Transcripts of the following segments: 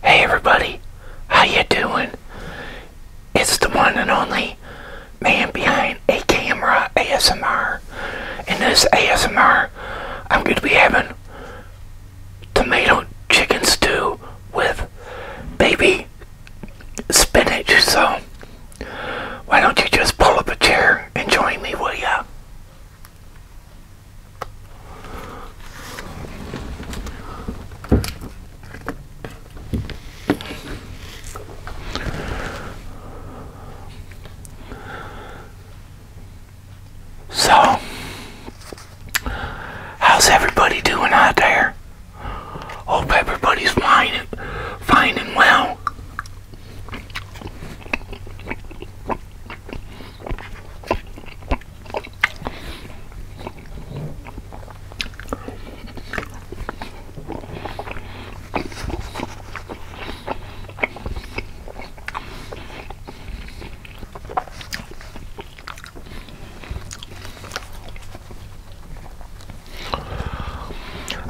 Hey everybody, how you doing? It's the one and only man behind a camera ASMR. In this ASMR, I'm going to be having tomato chicken stew with baby spinach. So, why don't you just pull up a chair and join me, will ya? So, how's everybody doing out there? Hope everybody's fine, fine and well.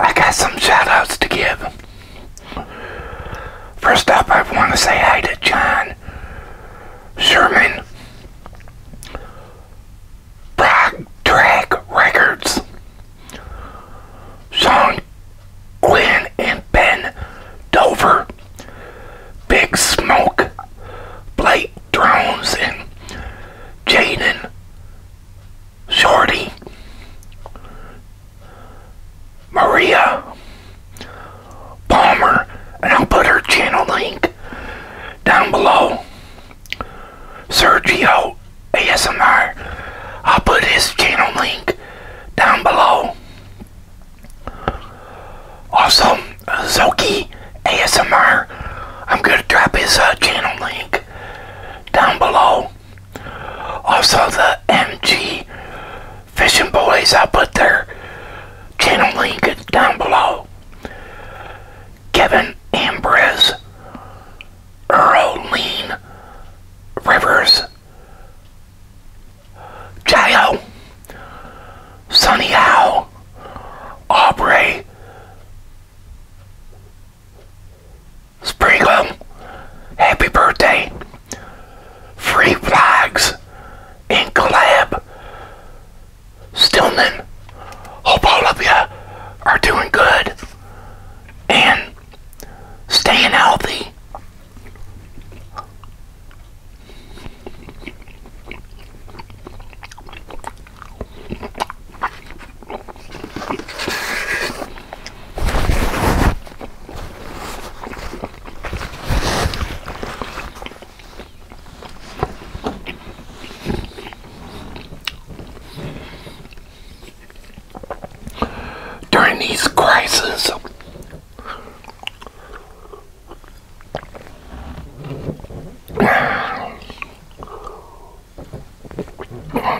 I got some shout outs to give. First up, I want to say hi to John Sherman, Prog Track Records, Sean Quinn and Ben Dover, Big Smoke, Blake Drones, and Jaden Shorty, Maria Palmer, and I'll put her channel link down below. Sergio ASMR, I'll put his channel link down below. Also, Zoki ASMR, I'm going to drop his uh, channel link down below. Also, the MG Fishing Boys, i put their channel link down below. Kevin Ambrose, Earl Lean, Rivers, Jayo, Sunny Howe, Aubrey, Springham, happy birthday. Free Flags in collab. Stillman, hope all of you are doing good and staying healthy. During these crises,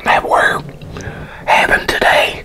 that we're having today.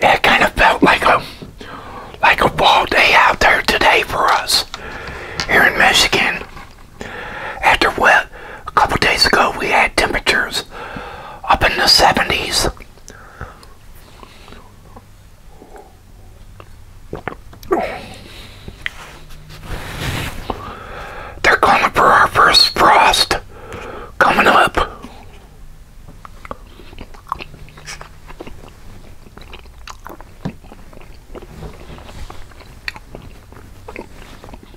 it kind of felt like a like a fall day out there today for us here in Michigan. After what a couple days ago we had temperatures up in the 70s. They're calling for our first frost coming up.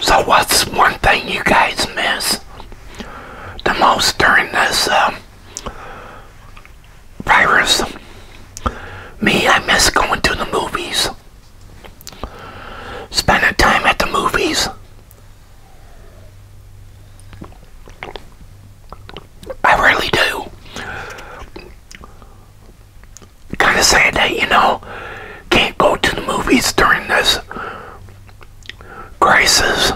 So, what's one thing you guys miss the most during this um, virus? Me, I miss going to the movies spending time at the movies. I really do. Kind of sad that, you know, can't go to the movies during this crisis.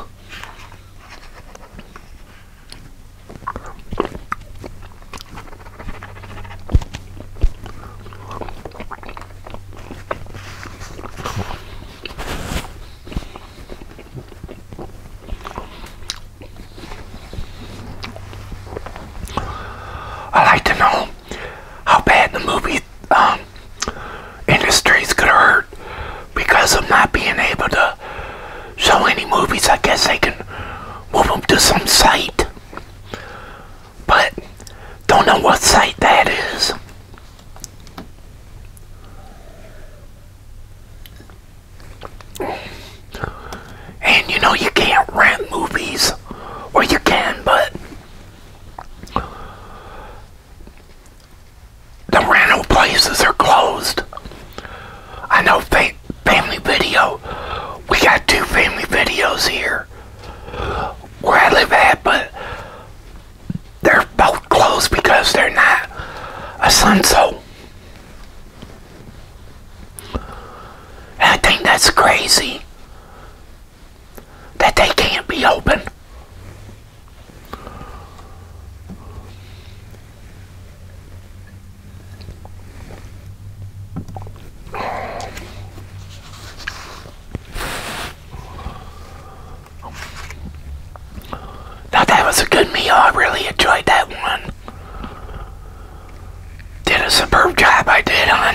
I like to know how bad the movie um, industries could hurt because of not being able to show any movies. I guess they can move them to some site but don't know what site that is. And you know, you can't rent movies, or you can, but the rental places are closed. I know fa Family Video, we got two family videos here here where I live at, but they're both closed because they're not a Sunso. And I think that's crazy that they can't be open that was a good meal. I really enjoyed that one. Did a superb job I did on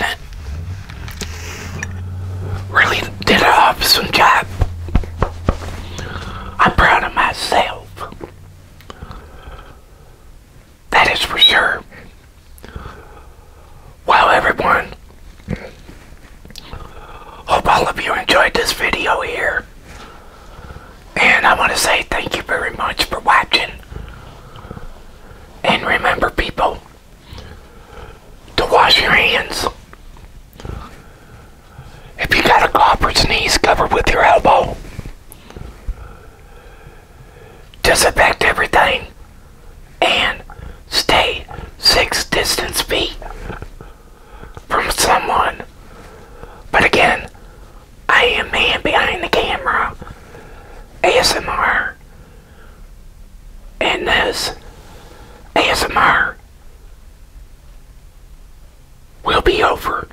it. Really did a awesome job. I'm proud of myself. That is for sure. Well, everyone, hope all of you enjoyed this video here. And I want to say thank you very much for watching. And remember, people, to wash your hands. If you got a cough or sneeze, cover with your elbow disinfect everything, and stay six distance feet from someone. But again, I am man behind the camera, ASMR, and this ASMR will be over.